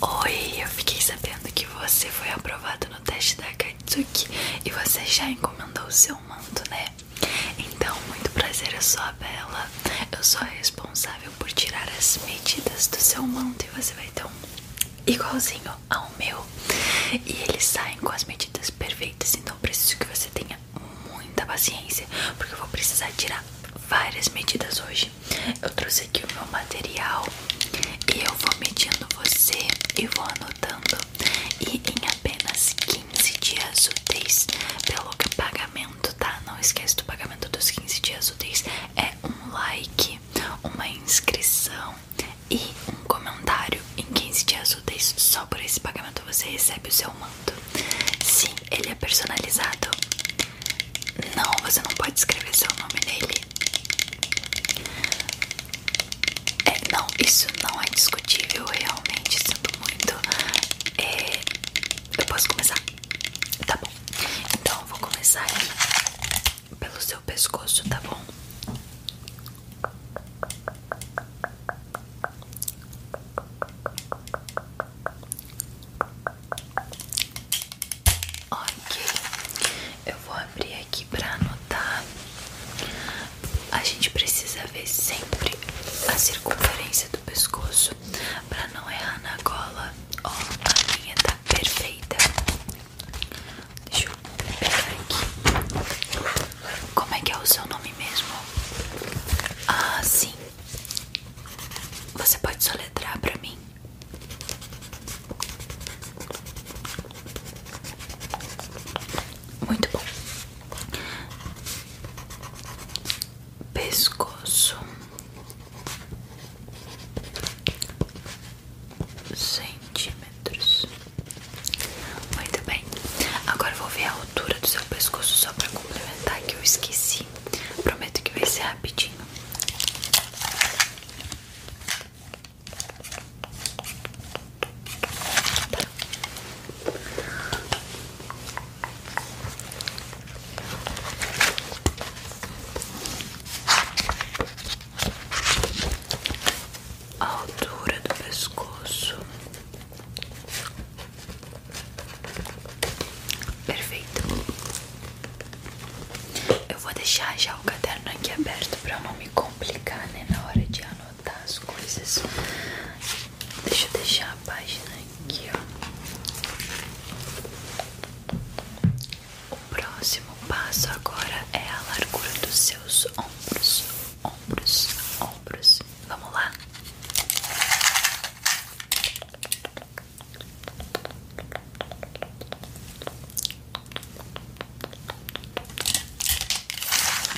Oi, eu fiquei sabendo que você foi aprovado no teste da Akatsuki e você já encomendou o seu manto, né? Então, muito prazer, eu sou a Bela. Eu sou a responsável por tirar as medidas do seu manto e você vai ter um igualzinho ao meu. E eles saem com as medidas perfeitas, então preciso que você tenha muita paciência, porque eu vou precisar tirar várias medidas hoje eu trouxe aqui o meu material e eu vou medindo você e vou anotando. E em apenas 15 dias úteis, pelo pagamento, tá? Não esquece do pagamento dos 15 dias úteis: é um like, uma inscrição e um comentário. Em 15 dias úteis, só por esse pagamento você recebe o seu manto. Sim, ele é personalizado. Não, você não pode escrever seu nome nele. É, não, isso não é discutível. Realmente sinto muito. É, eu posso começar? Tá bom. Então eu vou começar pelo seu pescoço, tá bom? Ok, eu vou abrir aqui para anotar. A gente precisa ver sempre a circunferência do pescoço para não errar na cola. Ó, a linha tá perfeita. Deixa eu pegar aqui. Como é que é o seu nome mesmo? Ah, sim. Você pode soletrar pra mim? Muito bom. Pescoço. Centímetros. Muito bem. Agora vou ver a altura do seu seu pescoço só para complementar que eu esqueci. Prometo que vai ser rapidinho. A altura do pescoço Perfeito. Eu vou deixar já o caderno aqui aberto para não me complicar, né, na hora de anotar as coisas. Deixa eu deixar a página aqui, ó. O próximo passo agora é a largura dos seus ombros, ombros, ombros. Vamos lá.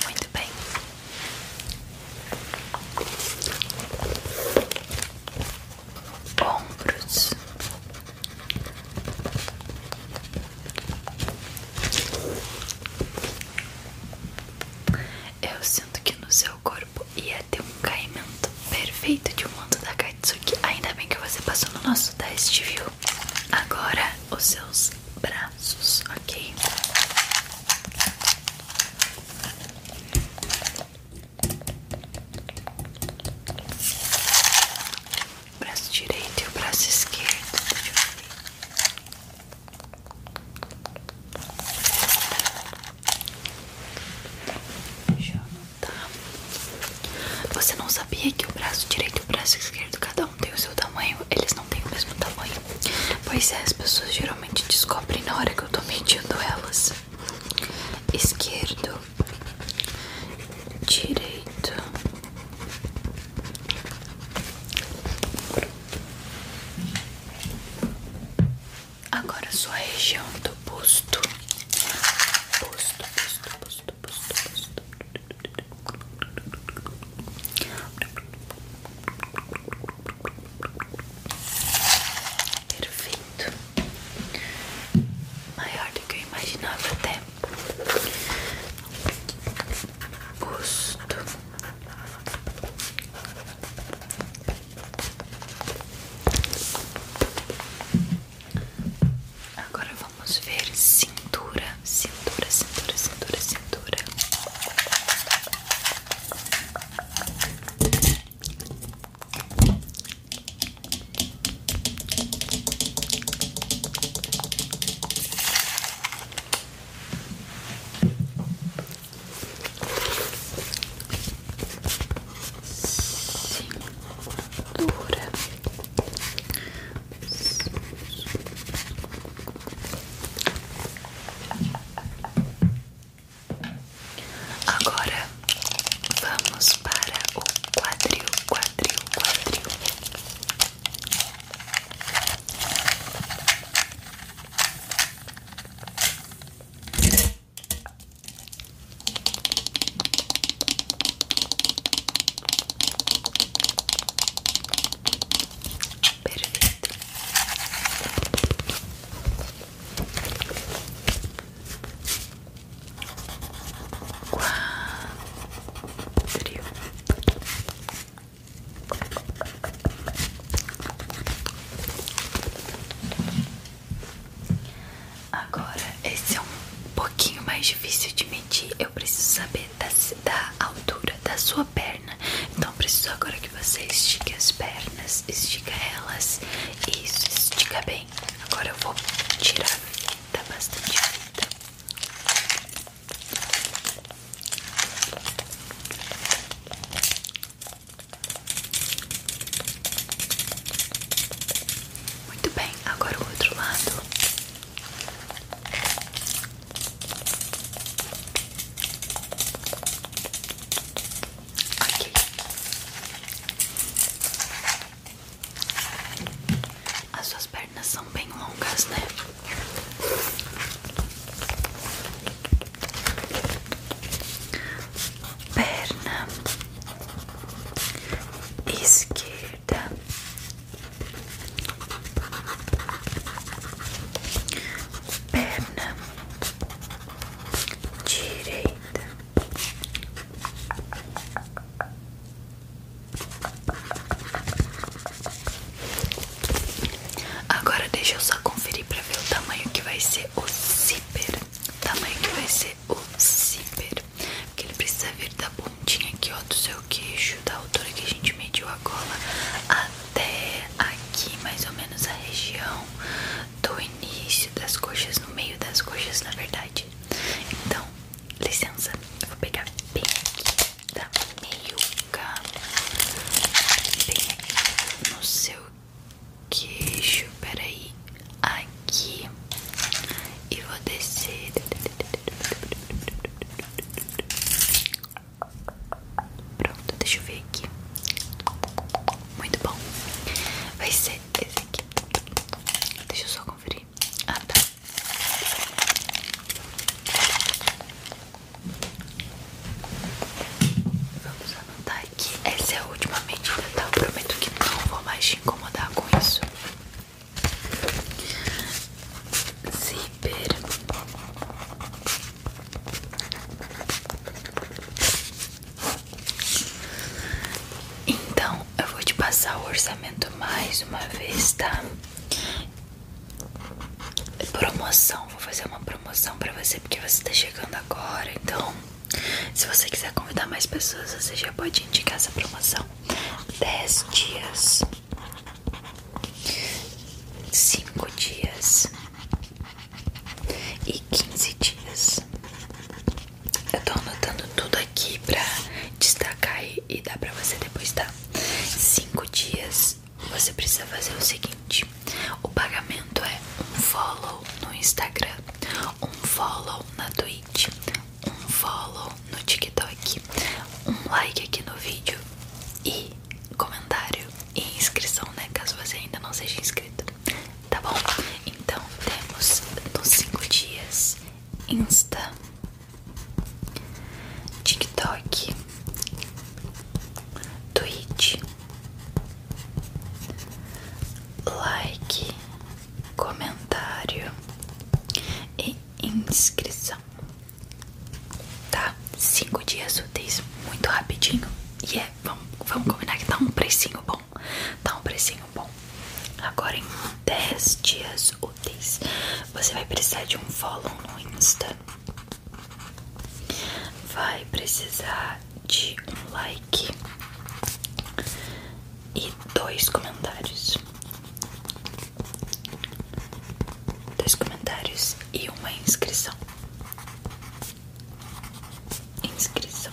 Muito bem. Ombros, Eu sinto que no seu corpo ia ter um caimento perfeito de um manto da Katsuki. Ainda bem que você passou no nosso teste, viu? Agora os seus braços, ok? braço direito e o braço esquerdo. Deixa eu ver. Deixa eu Você não sabia que o braço direito e o braço esquerdo cada um tem o seu tamanho? Eles não têm o mesmo tamanho. Pois é, as pessoas geralmente descobrem na hora que eu tô medindo elas. Esquerdo, direito, Agora sua região do busto. Busto, busto, busto, busto, busto. Perfeito. Maior do que eu imaginava até é agora vamos ver cintura cintura cintura cintura cintura Cintura. Agora vamos para o quadril, quadril, quadril. Perfeito quadril. Agora, esse é um pouquinho mais difícil de medir. Eu preciso saber da, altura da sua perna. Então, preciso agora que você estique as pernas, estica elas. Isso, estica bem. Agora eu vou tirar a bastante fita. Muito bem, agora o outro lado. Ok. As suas pernas são bem longas, né? Perna esquerda, perna direita, Agora deixa eu só conferir pra ver o tamanho que vai ser o zíper. tamanho que vai ser o zíper. Porque ele precisa vir da pontinha aqui, ó, do seu queixo, da altura que a gente mediu a gola, até aqui, mais ou menos a região do início das coxas, no meio das coxas, na verdade. Então, licença, eu vou pegar bem aqui da meiuca, bem aqui no seu queixo, peraí, aqui, e vou descer. Pronto, deixa eu ver aqui. Muito bom. Vai ser esse aqui. Deixa eu só conferir. Ah, tá. Vamos anotar aqui. Essa é a última medida, tá? Eu prometo que não vou mais te incomodar com isso. Zíper. Então, eu vou te passar o orçamento mais uma vez, tá? Promoção, vou fazer uma promoção pra você porque você tá chegando agora. Então, se você quiser convidar mais pessoas, você já pode indicar essa promoção: Dez dias, cinco dias, e 15 dias. Eu tô anotando tudo aqui pra destacar e, dá dar pra você depois, tá? 5 dias você precisa fazer o seguinte: o pagamento é um follow no Instagram, um follow na Twitch, um follow no TikTok, um like aqui no vídeo e comentário e inscrição, né? Caso você ainda não seja inscrito tá bom? Então temos nos 5 dias Insta, TikTok, Twitch, like, comentário e inscrição. Tá? 5 dias úteis, muito rapidinho. E é vamos, combinar que tá um precinho bom. Tá um precinho bom. Agora em 10 dias úteis, você vai precisar de um follow no Insta. Vai precisar de um like e dois comentários. Dois comentários e uma inscrição inscrição.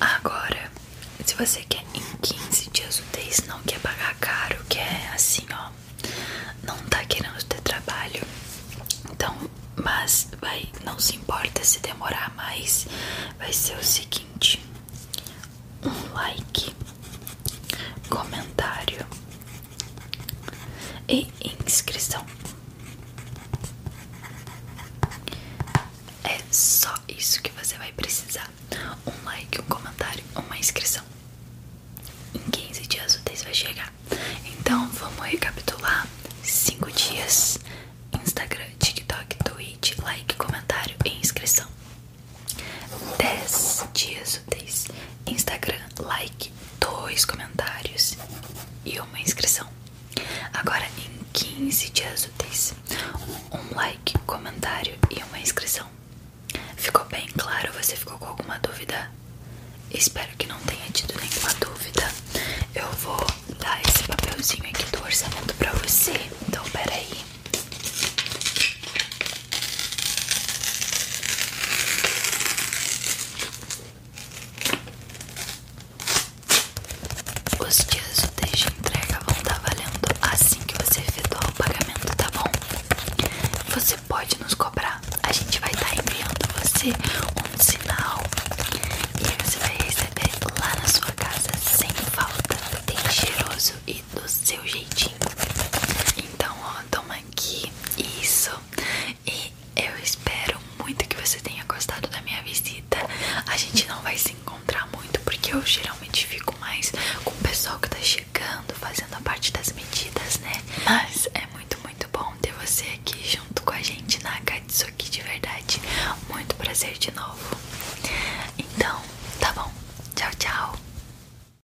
Agora, se você quer em 15 dias o úteis, não quer pagar caro, quer assim, ó, não tá querendo ter trabalho, então, mas vai, não se importa se demorar mais, vai ser o seguinte: um like, comentário e inscrição. É só isso que você vai precisar: um like, um comentário, uma inscrição. Em 15 dias o vai chegar. Então vamos recapitular: 5 dias. Instagram, TikTok, Twitch, like, comentário e inscrição. 10 dias úteis. Instagram, like, dois comentários e uma inscrição. Agora em 15 dias úteis, um like, comentário e uma inscrição. Ficou bem claro? Você ficou com alguma dúvida? Espero que não tenha tido nenhuma dúvida. Eu vou dar esse papelzinho aqui do orçamento pra você. Então, peraí. Os dias de entrega vão estar tá valendo assim que você efetuar o pagamento, tá bom? Você pode nos cobrar, a gente vai estar tá enviando você um sinal e você vai receber lá na sua casa sem falta, bem cheiroso e do seu jeitinho. Então, ó, toma aqui. Isso. E eu espero muito que você tenha gostado da minha visita. A gente não vai se encontrar muito porque eu geralmente fico mais com o pessoal que tá chegando, fazendo a parte das medidas, né? Mas é muito, muito bom ter você aqui junto com a gente na isso aqui de verdade. Muito prazer de novo. Então, tá bom. Tchau, tchau.